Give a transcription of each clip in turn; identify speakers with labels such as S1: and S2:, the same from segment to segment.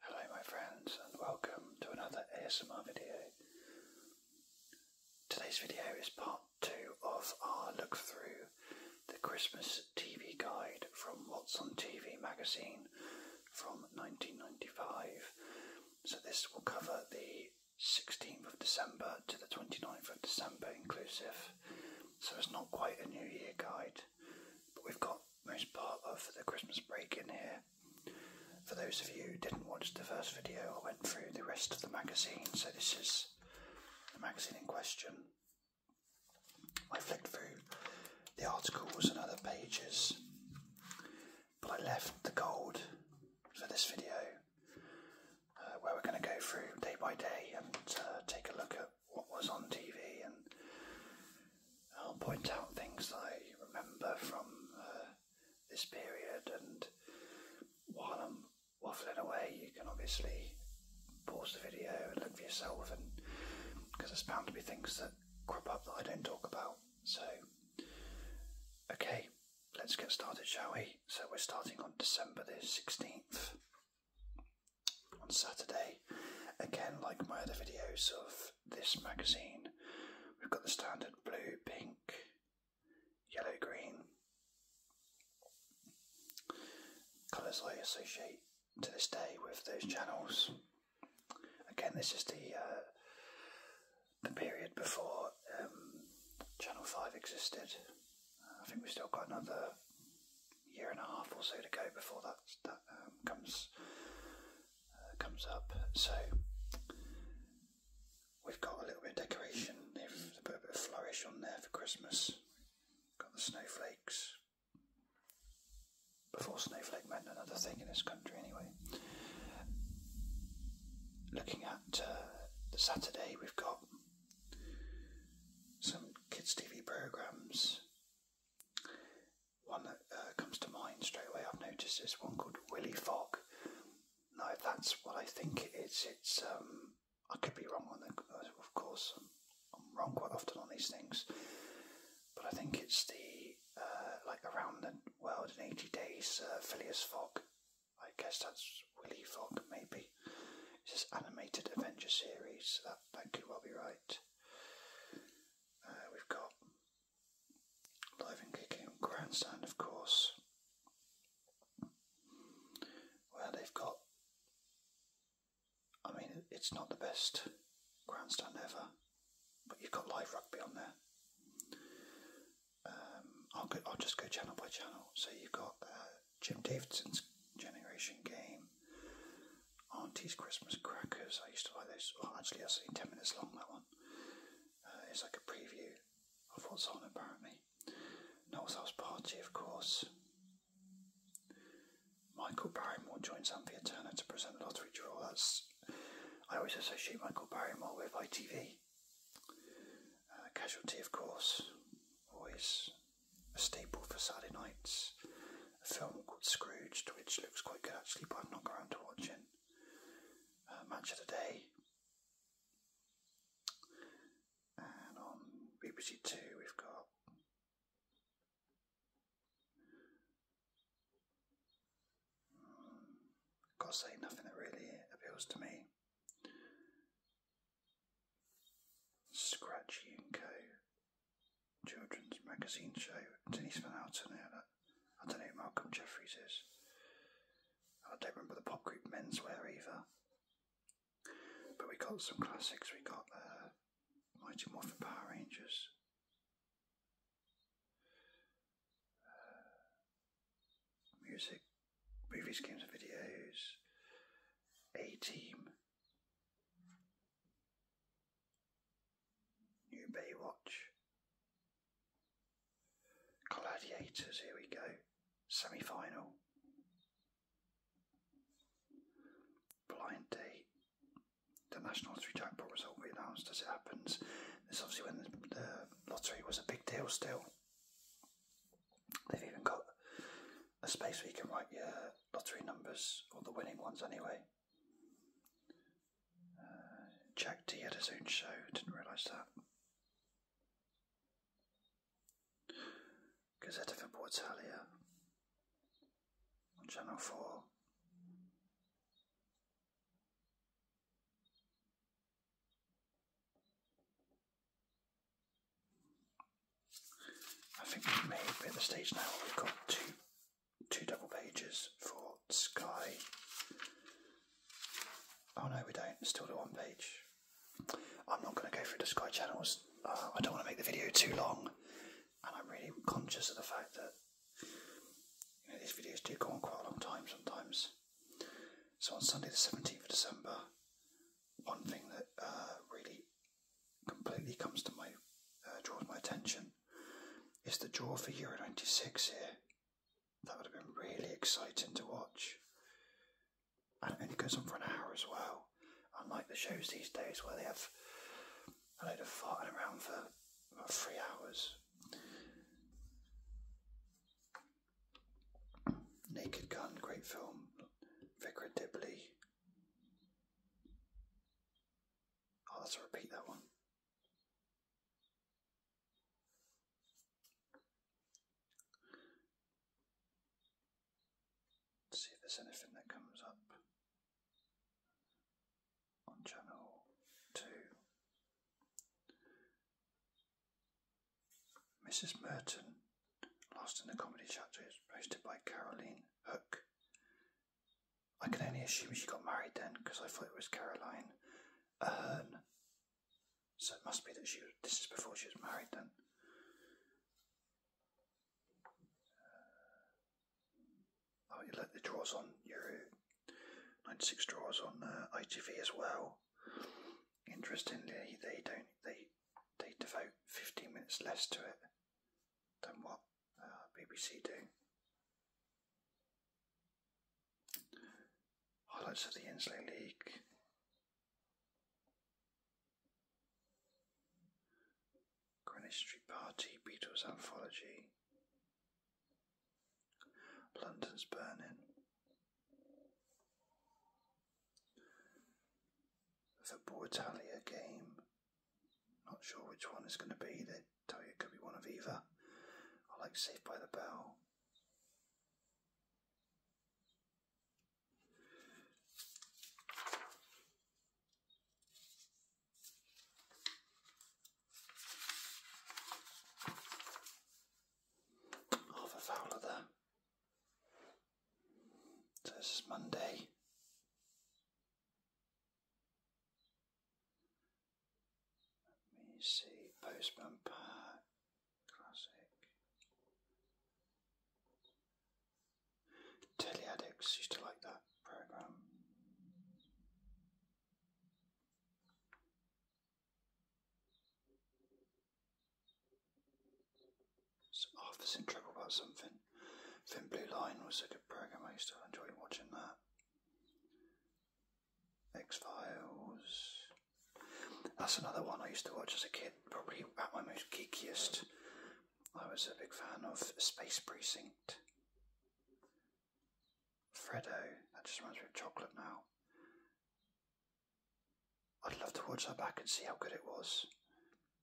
S1: Hello my friends and welcome to another ASMR video. Today's video is part two of our look through the Christmas TV guide from What's on TV magazine from 1995. So this will cover the 16th of December to the 29th of December inclusive. So it's not quite a New Year guide, but we've got most part of the Christmas break in here. For those of you who didn't watch the first video, I went through the rest of the magazine, so this is the magazine in question. I flicked through the articles and other pages, but I left the gold for this video, uh, where we're going to go through day by day and uh, take a look at what was on TV, and I'll point out things I remember from uh, this period. And while I'm waffling away, you can obviously pause the video and look for yourself, and because there's bound to be things that crop up that I don't talk about. So, okay, let's get started, shall we? So, we're starting on December the 16th on Saturday. Again, like my other videos of this magazine, we've got the standard blue, pink, yellow, green colours I associate to this day with those channels. Again, this is the uh, the period before um, Channel Five existed. I think we've still got another year and a half or so to go before that that um, comes uh, comes up. So we've got a little bit of decoration. a bit of flourish on there for Christmas. Got the snowflakes. Before snowflake meant another thing in this country, anyway. Looking at uh, the Saturday, we've got some kids' TV programs one that uh, comes to mind straight away, I've noticed, is one called Willy Fogg. Now, that's what I think it is. It's, um, I could be wrong on that, of course. I'm, wrong quite often on these things. But I think it's the, uh, like, Around the World in 80 Days, uh, Phileas Fogg. I guess that's Willy Fogg, maybe. It's this animated adventure series Thank might do right. we've got Live and Kicking Grandstand, of course, where they've got. I mean, it's not the best grandstand ever, but you've got live rugby on there. Um, I'll, go, I'll just go channel by channel. So you've got uh, Jim Davidson's Generation Game, Auntie's Christmas Crackers. I used to like those. Well, actually, have seen 10 minutes long, that one. Uh, it's like a preview of what's on, apparently. Noel's House Party, of course. Michael Barrymore joins Anthea Turner to present the lottery draw. That's I always associate Michael Barrymore with ITV. Uh, casualty, of course, always a staple for Saturday nights. A film called Scrooged, which looks quite good actually, but I've not got around to watching. it. Uh, Match of the Day. And on BBC Two, we've got hmm, Gotta say nothing that really appeals to me. Scratchy and Co. Children's magazine show. I don't know who Malcolm Jeffries is. I don't remember the pop group Menswear either. But we got some classics. We got uh, Mighty Morphin Power Rangers. Uh, music, movies, games, and videos. A Team. New Baywatch. Gladiators, here we go. Semi final. Blind date. The National Lottery Jackpot result will be announced as it happens. This obviously when the, the lottery was a big deal still. They've even got a space where you can write your lottery numbers, or the winning ones anyway. Uh, Jack D had his own show, didn't realise that. Gazette of on Channel 4. I think we may be at the stage now where we've got two two double pages for Sky. Oh no, we don't. Still do one page. I'm not going to go through the Sky channels. Uh, I don't want to make the video too long, and I'm really conscious of the fact that you know, these videos do go on quite a long time sometimes. So on Sunday the 17th of December, one thing that uh, really completely comes to my uh, draws my attention is the draw for Euro 96 here. That would have been really exciting to watch. And it only goes on for an hour as well. Unlike the shows these days where they have a load of farting around for about three hours. Naked Gun, great film. Vicar Dibley, I'll have repeat that one. see if there's anything that comes up on channel two. Mrs. Merton Lost in the Comedy Chapter is hosted by Caroline Hook. I can only assume she got married then, because I thought it was Caroline Ahern. So it must be that she. this is before she was married then. Uh, oh, you like the draws on Euro 96 draws on uh, ITV as well. Interestingly, they don't. They they devote 15 minutes less to it than what uh, BBC do. Highlights of the Inslee League. Greenwich Street Party, Beatles Anthology. London's Burning the Bortalia game. Not sure which one is going to be. They tell you it could be one of either. I like Saved by the Bell. Half a there. So this is Monday. Let me see, Postman Park, classic. Teleaddicts used to like that program. So Arthur's oh, in trouble about something. Thin Blue Line was a good program. I used to enjoy watching that. X Files. That's another one I used to watch as a kid. Probably at my most geekiest. I was a big fan of Space Precinct. Freddo. That just reminds me of chocolate now. I'd love to watch that back and see how good it was.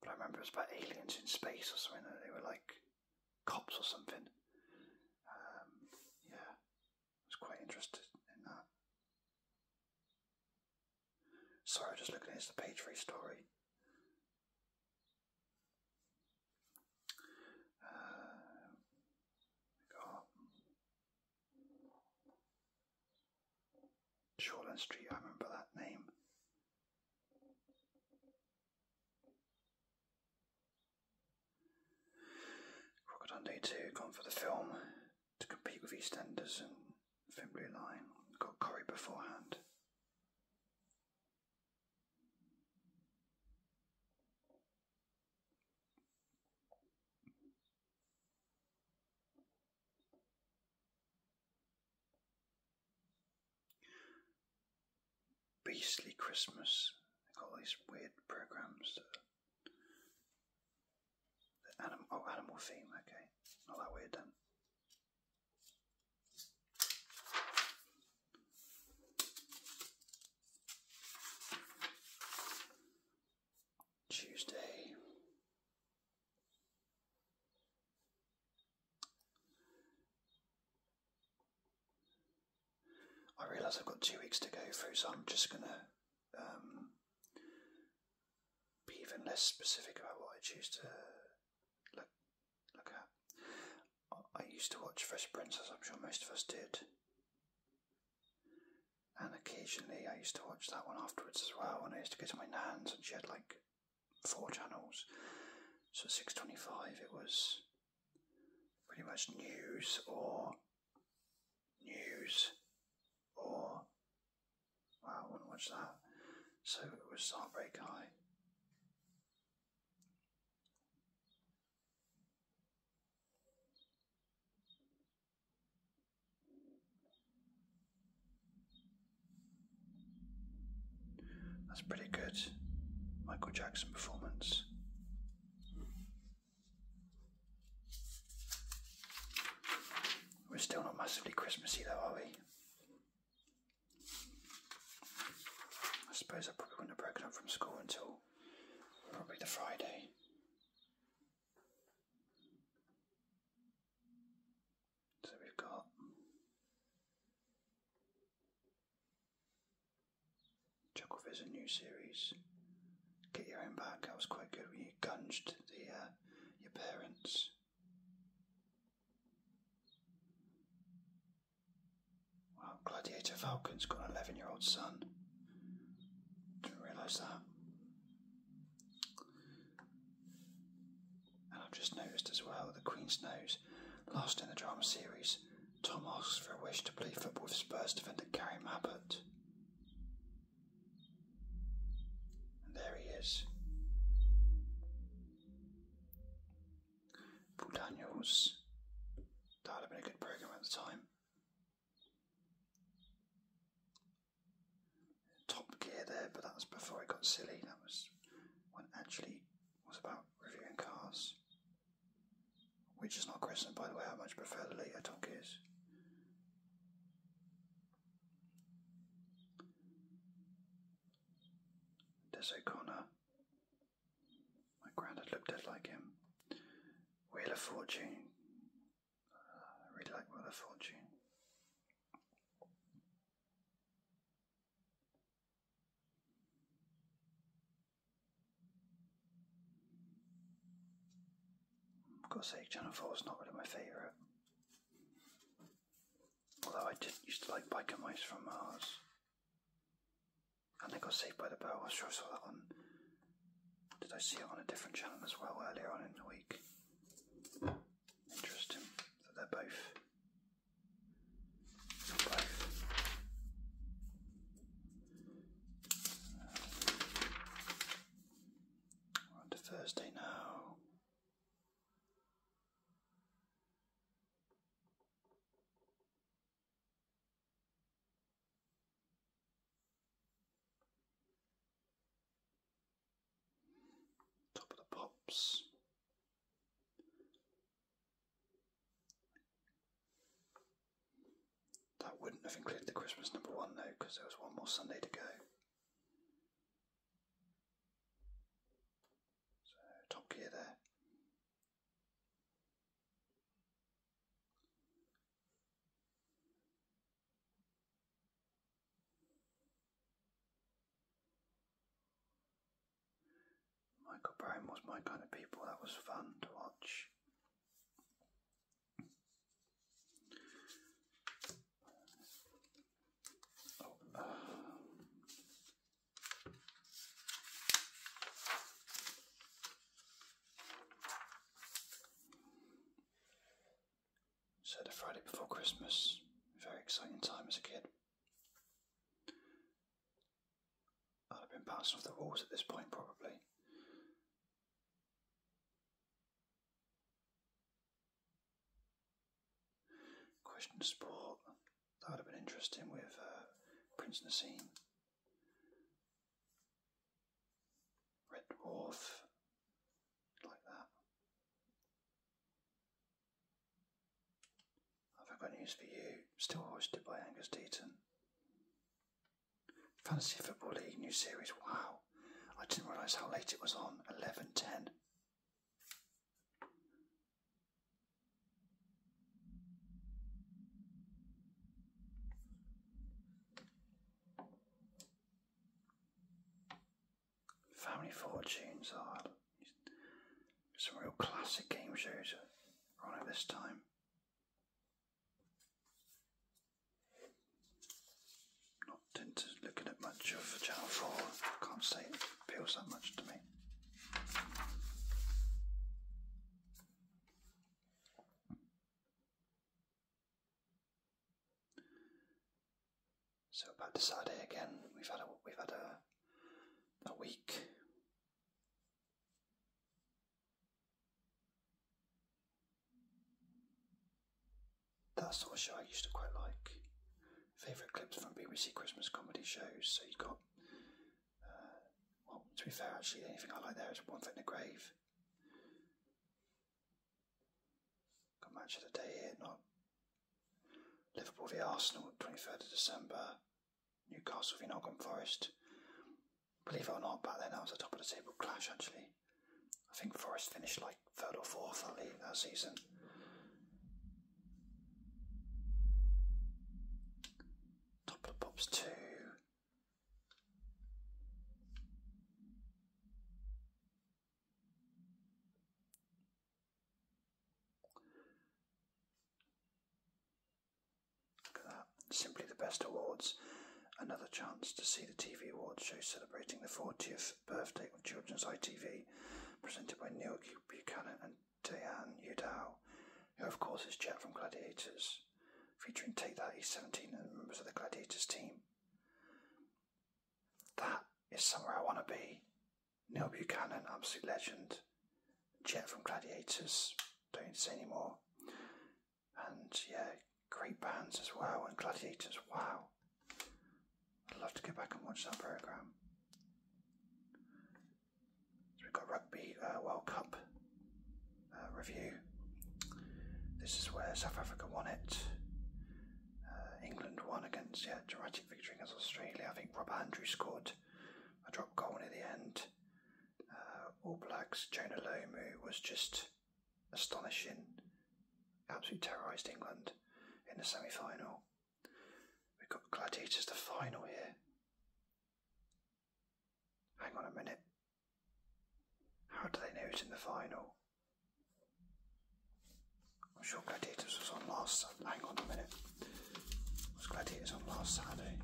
S1: But I remember it was about aliens in space or something, and they were like cops or something. Um, yeah, I was quite interested in that. Sorry, I'm just looking at the page three story. Uh, Shoreland Street, I remember that name. Rocket on day gone for the film to compete with EastEnders and Thin Got Corrie beforehand. Beastly Christmas. They these weird programs. That, oh, animal theme, okay. Not that weird then. Tuesday, I realise I've got two weeks to go through, so I'm just going to um, be even less specific about what I choose to look, look at. I used to watch Fresh Prince, as I'm sure most of us did and occasionally I used to watch that one afterwards as well. When I used to go to my nan's, and she had like four channels. So six twenty-five, it was pretty much news or news or wow, I wouldn't watch that. So it was Starbreak High. That's pretty good. Michael Jackson performance. We're still not massively Christmassy though, are we? I suppose I probably wouldn't have broken up from school until probably the Friday. So we've got Chucklefish, new series. Get your own back. That was quite good when you gunged the uh, your parents. Wow, Gladiator Falcon's got an eleven-year-old son. Didn't realise that. And I've just noticed as well the Queen's nose. Last in the drama series, Tom asks for a wish to play football with Spurs defender Gary Mabbott. And there he is. Paul Daniels. That would have been a good programme at the time top gear there, but that was before it got silly. That was when actually was about reviewing cars. Which is not Crescent, by the way, I much prefer the later Top Gears. Des O'Connor. My granddad looked dead like him. Wheel of Fortune. I really like Mother of Fortune. I've Channel 4 is not really my favourite. Although I did used to like Biker Mice from Mars. And they got Saved by the Bell, I'm sure I saw that on did I see it on a different channel as well earlier on in the week? Interesting that they're both. both. Um, we're now. Top of the Pops. That wouldn't have included the Christmas number one though, because there was one more Sunday to go. So, Top Gear there. Michael Brown was my kind of people, that was fun to watch. So the Friday before Christmas, very exciting time as a kid. I'd have been bouncing off the walls at this point probably. Question sport, that would have been interesting with uh, Prince Nassim. Red Dwarf, like that. I've got news for you, still hosted by Angus Deaton. Fantasy Football League new series, wow. I didn't realise how late it was on, 11.10. Family Fortunes are some real classic game shows are on at this time. Not into looking at much of Channel 4, can't say appeals that much to me. So about to Saturday again. We've had a we've had a a week. That's sort of I used to quite like. Favourite clips from BBC Christmas comedy shows. So you've got, uh, well, to be fair, actually, anything I like there is One thing: in the Grave, Got match of the day here, not Liverpool v Arsenal, 23rd of December. Newcastle v Nottingham Forest. Believe it or not, back then that was a top of the table clash actually. I think Forest finished like third or fourth at league that season. Top of the Pops 2, Simply the Best Awards. Another chance to see the TV awards show celebrating the 40th birthday of Children's ITV, presented by Neil Buchanan and Diane Udall, who, of course, is Jet from Gladiators featuring Take That He's 17 and members of the Gladiators team. That is somewhere I want to be. Neil Buchanan, absolute legend. Jet from Gladiators, don't need to say anymore. And yeah, great bands as well, and Gladiators, wow. I'd love to go back and watch that programme. So we've got Rugby uh, World Cup uh, review. This is where South Africa won it. Uh, England won against, yeah, dramatic victory against Australia. I think Rob Andrew scored a drop goal near the end. Uh, All Blacks, Jonah Lomu was just astonishing. Absolutely terrorised England in the semi final. We've got Gladiators, the final here. Hang on a minute. How do they know it's in the final? I'm sure Gladiators was on last. Hang on a minute. Was Gladiators on last Saturday?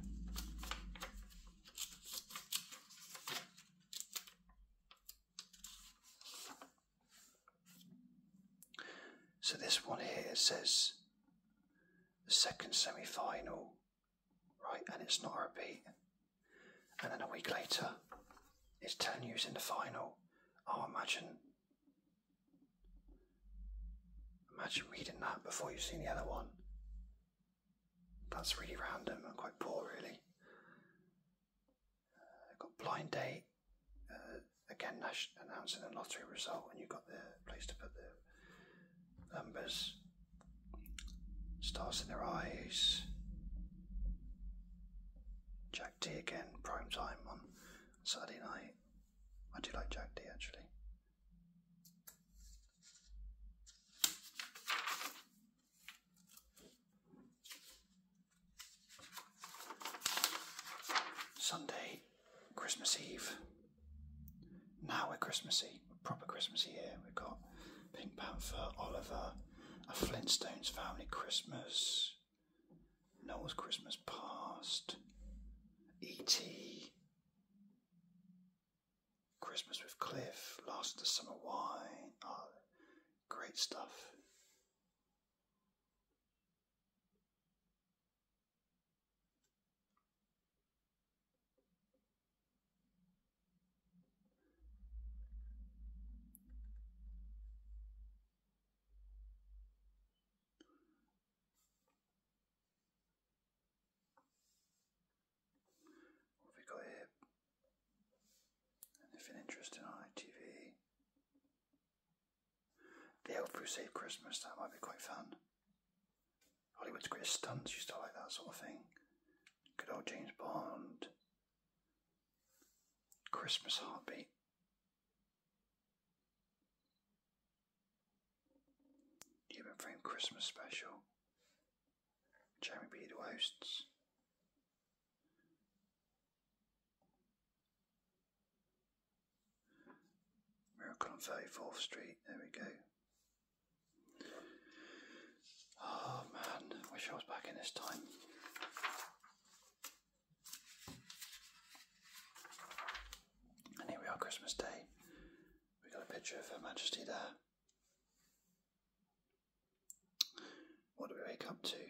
S1: So this one here says the second semi final right? And it's not a repeat. And then a week later, it's ten years in the final. Oh, imagine, imagine reading that before you've seen the other one. That's really random and quite poor, really. Uh, got blind date. Uh, again, Nash announcing the lottery result, and you have got the place to put the numbers. Stars in their eyes. Jack D again, prime time on Saturday night. I do like Jack D actually. Sunday, Christmas Eve. Now we're Christmassy, proper Christmassy here. We've got Pink Panther, Oliver, a Flintstones family Christmas, Noel's Christmas past, E.T. Christmas with Cliff, Lost of the Summer Wine. Oh, great stuff. What have we got here? Anything interesting on ITV? The Elf Who Saved Christmas, that might be quite fun. Hollywood's greatest stunts used to like that sort of thing. Good old James Bond. Christmas Heartbeat. Human Frame Christmas Special. Jeremy Beadle hosts. Miracle on 34th Street, there we go. Oh man, wish I was back in this time. And here we are, Christmas Day. We got a picture of Her Majesty there. What do we wake up to?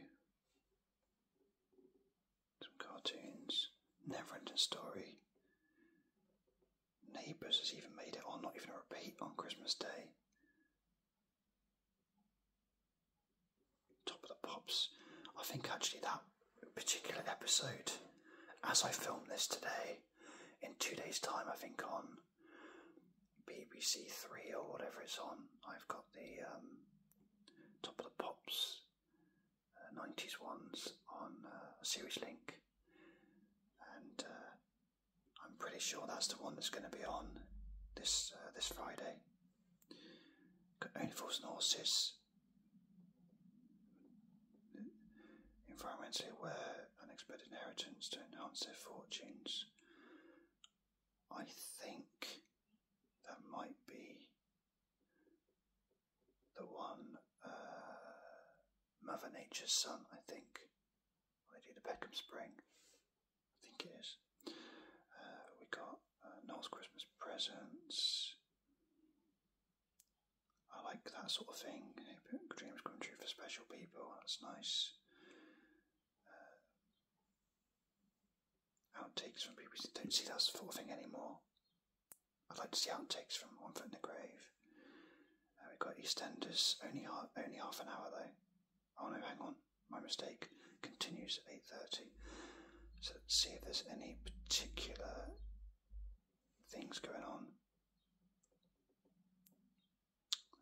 S1: Some cartoons, Neverending Story, Neighbours has even made it on Not Even a Repeat on Christmas Day. Top of the Pops. I think actually that particular episode, as I film this today, in two days' time, I think on BBC Three or whatever it's on, I've got the um, Top of the Pops 90s uh, ones on uh, Series Link. And uh, I'm pretty sure that's the one that's going to be on this uh, this Friday. Only Fools and Horses. Environmentally aware, unexpected inheritance to enhance their fortunes. I think that might be the one uh, Mother Nature's Son, I think. Well, they do the Beckham Spring. I think it is. Uh, we got uh, Noel's Christmas Presents. I like that sort of thing. Dreams come true for special people. That's nice. Uh, outtakes from people who don't see that sort of thing anymore. I'd like to see outtakes from One Foot in the Grave we've got EastEnders, only, ha- only half an hour though. Oh no, hang on, my mistake. Continues at 8.30. So let's see if there's any particular things going on.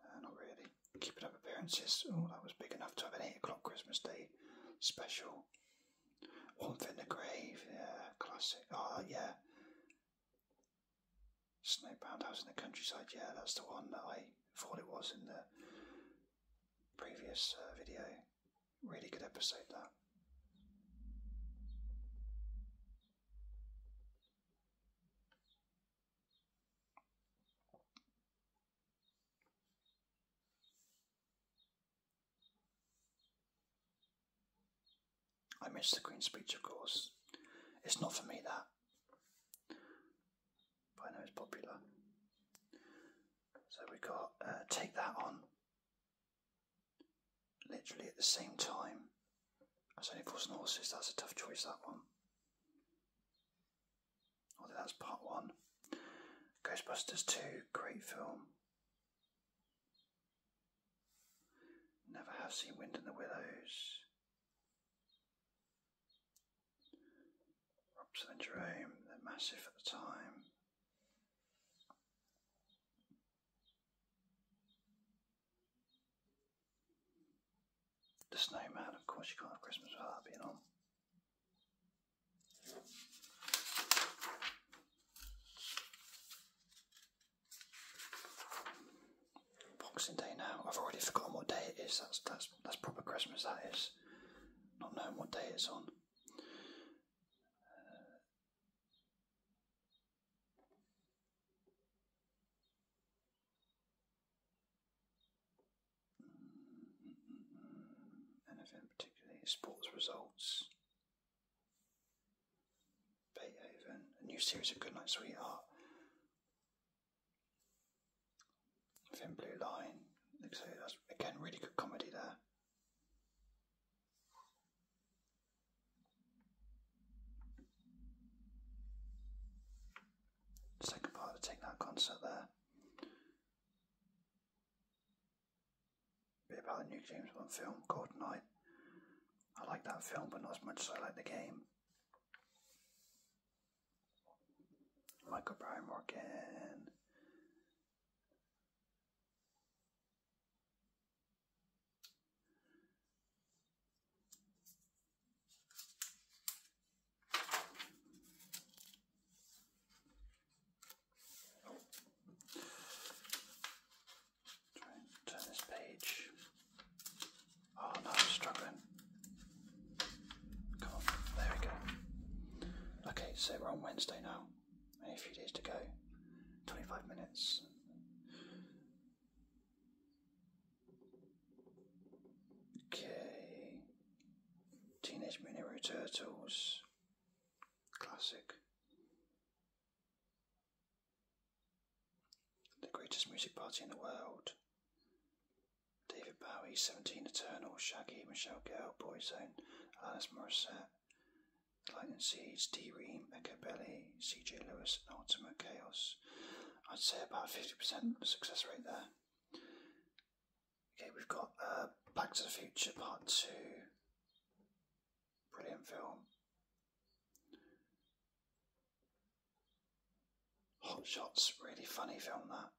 S1: Uh, not really. Keeping up appearances. Oh, that was big enough to have an 8 o'clock Christmas Day special. One Foot in the Grave, yeah, classic. Oh, yeah. Snowbound House in the Countryside, yeah, that's the one that I thought it was in the previous uh, video. Really good episode, that. I missed the Queen's speech, of course. It's not for me, that. But I know it's popular. So we got uh, Take That On. Literally at the same time as Only Fools and Horses. That's a tough choice, that one. Although that's part one. Ghostbusters 2, great film. Never have seen wind in the willows. Robson and Jerome, they're massive at the time. The snowman, of course, you can't have Christmas without being on. Boxing Day now. I've already forgotten what day it is. That's that's that's proper Christmas. That is not knowing what day it's on. Uh, mm, mm, mm, anything particularly sports results Beethoven, a new series of Goodnight Sweetheart, Thin Blue Line. So that's again really good comedy there. Second part of Take That concert there. Bit about the new James Bond film, Golden I like that film, but not as much as I like the game. Michael Brian Morgan. Try and turn this page. Oh no, I'm struggling. Come on, there we go. Okay, so we're on Wednesday now. Only a few days to go. 25 minutes. Okay. Teenage Mutant Hero Turtles. Classic. The greatest music party in the world. David Bowie, Seventeen Eternal, Shaggy, Michelle Gale, Boyzone, Alanis Morissette, Lightning Seeds, D-Ream, Echo Belly, C.J. Lewis, and Ultimate Chaos. I'd say about 50% success rate there. Okay, we've got uh, Back to the Future Part 2. Brilliant film. Hot Shots, really funny film that.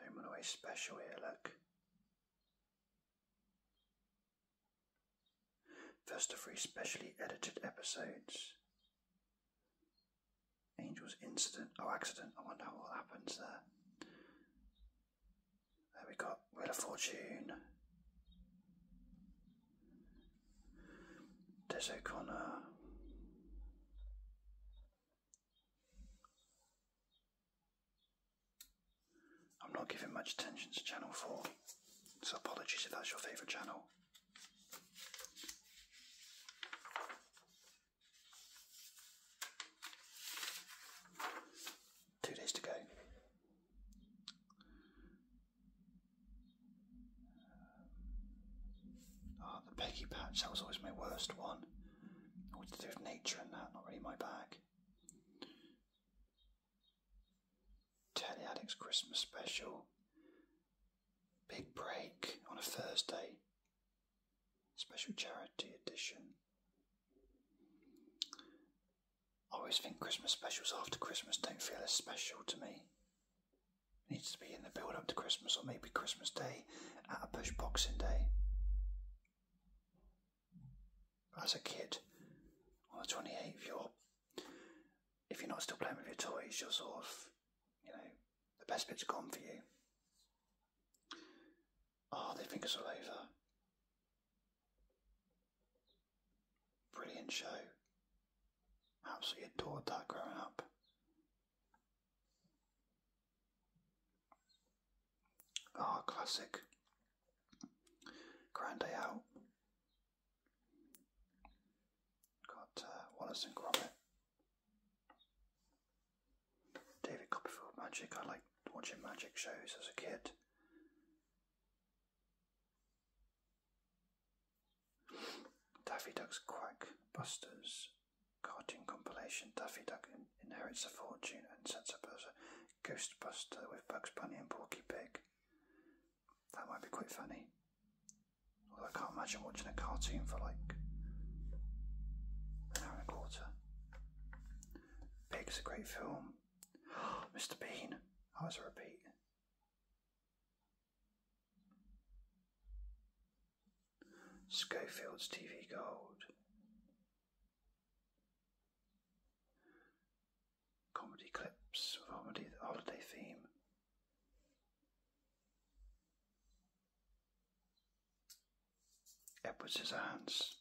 S1: Home away special here, look. First of three specially edited episodes. Angel's incident. Oh, accident. I wonder what happens there. There we got Wheel of Fortune. Des O'Connor. I'm not giving much attention to Channel 4, so apologies if that's your favourite channel. Two days to go. Ah, the Peggy Patch, that was always my worst one. All to do with nature and that, not really my bag. Telly Alex Christmas special. Big break on a Thursday. Special charity edition. I always think Christmas specials after Christmas don't feel as special to me. needs to be in the build up to Christmas or maybe Christmas Day at a push Boxing Day as a kid on the 28th, you're, if you're not still playing with your toys, you're sort of, you know, the best bits are gone for you. Oh, they think it's all over. Brilliant show. Absolutely adored that growing up. Ah, classic. Grand Day Out. Got uh, Wallace and Gromit. David Copperfield Magic. I liked watching magic shows as a kid. Daffy Duck's Quack cartoon compilation Daffy Duck inherits a fortune and sets up as a ghostbuster with Bugs Bunny and Porky Pig. That might be quite funny. Although I can't imagine watching a cartoon for like an hour and a quarter. Pig's a great film. Mr. Bean! Oh, was a repeat. Schofield's TV Gold. Comedy clips with holiday, holiday theme. Edward Scissorhands.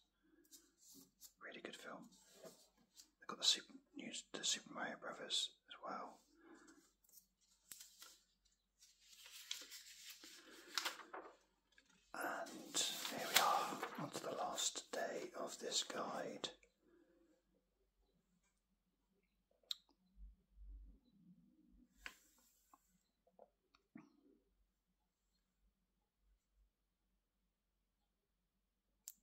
S1: Really good film. They've got the Super, the Super Mario Brothers as well. And here we are, on to the last day of this guide.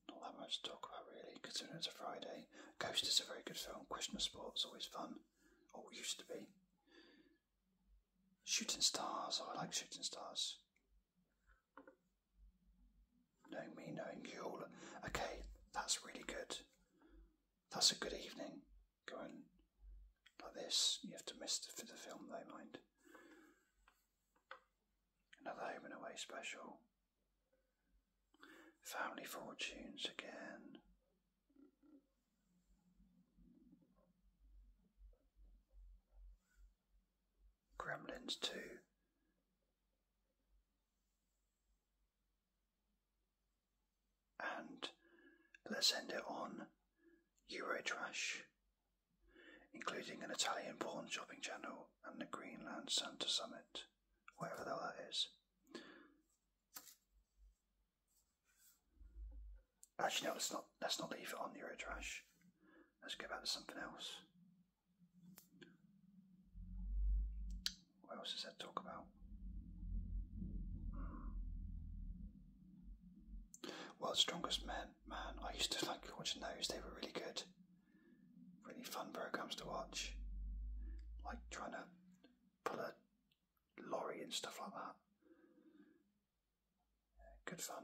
S1: Not that much to talk about really, considering it's a Friday. Ghost is a very good film. Question of Sport's always fun, or used to be. Shooting stars. Oh, I like shooting stars. Knowing me, knowing you Okay, that's really good. That's a good evening. Going like this. You have to miss the, film, They mind. Another home and away special. Family fortunes again. Gremlins 2. And let's end it on Eurotrash, including an Italian porn shopping channel and the Greenland Santa Summit, wherever that is. Actually, no, let's not, let's not leave it on your Trash. Let's go back to something else. What else does that talk about? Hmm. World's Strongest Man. Man, I used to like watching those. They were really good. Really fun programs to watch. Like trying to pull a lorry and stuff like that. Good fun.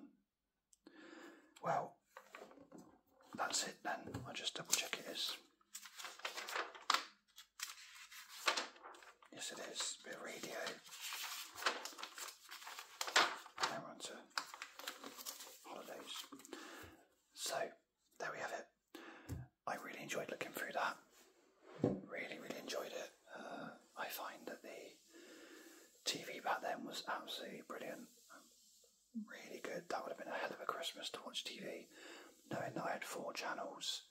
S1: Well, that's it then. I'll just double check it is. Yes, it is. bit radio. Now we on to holidays. So, there we have it. I really enjoyed looking through that. Really, really enjoyed it. I find that the TV back then was absolutely brilliant, really good. That would have been a hell of a Christmas to watch TV, knowing that I had four channels.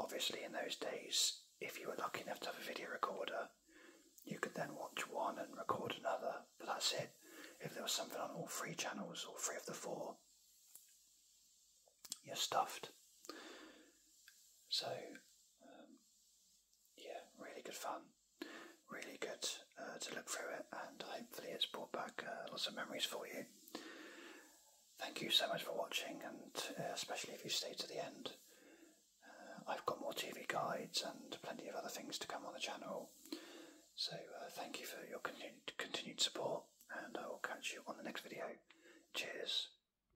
S1: Obviously, in those days, if you were lucky enough to have a video recorder, you could then watch one and record another, but that's it. If there was something on all three channels or three of the four, you're stuffed. So um, yeah, really good fun. Really good uh, to look through it, and hopefully, it's brought back uh, lots of memories for you. Thank you so much for watching, and uh, especially if you stay to the end. I've got more TV guides and plenty of other things to come on the channel. So thank you for your continued, continued support and I will catch you on the next video. Cheers.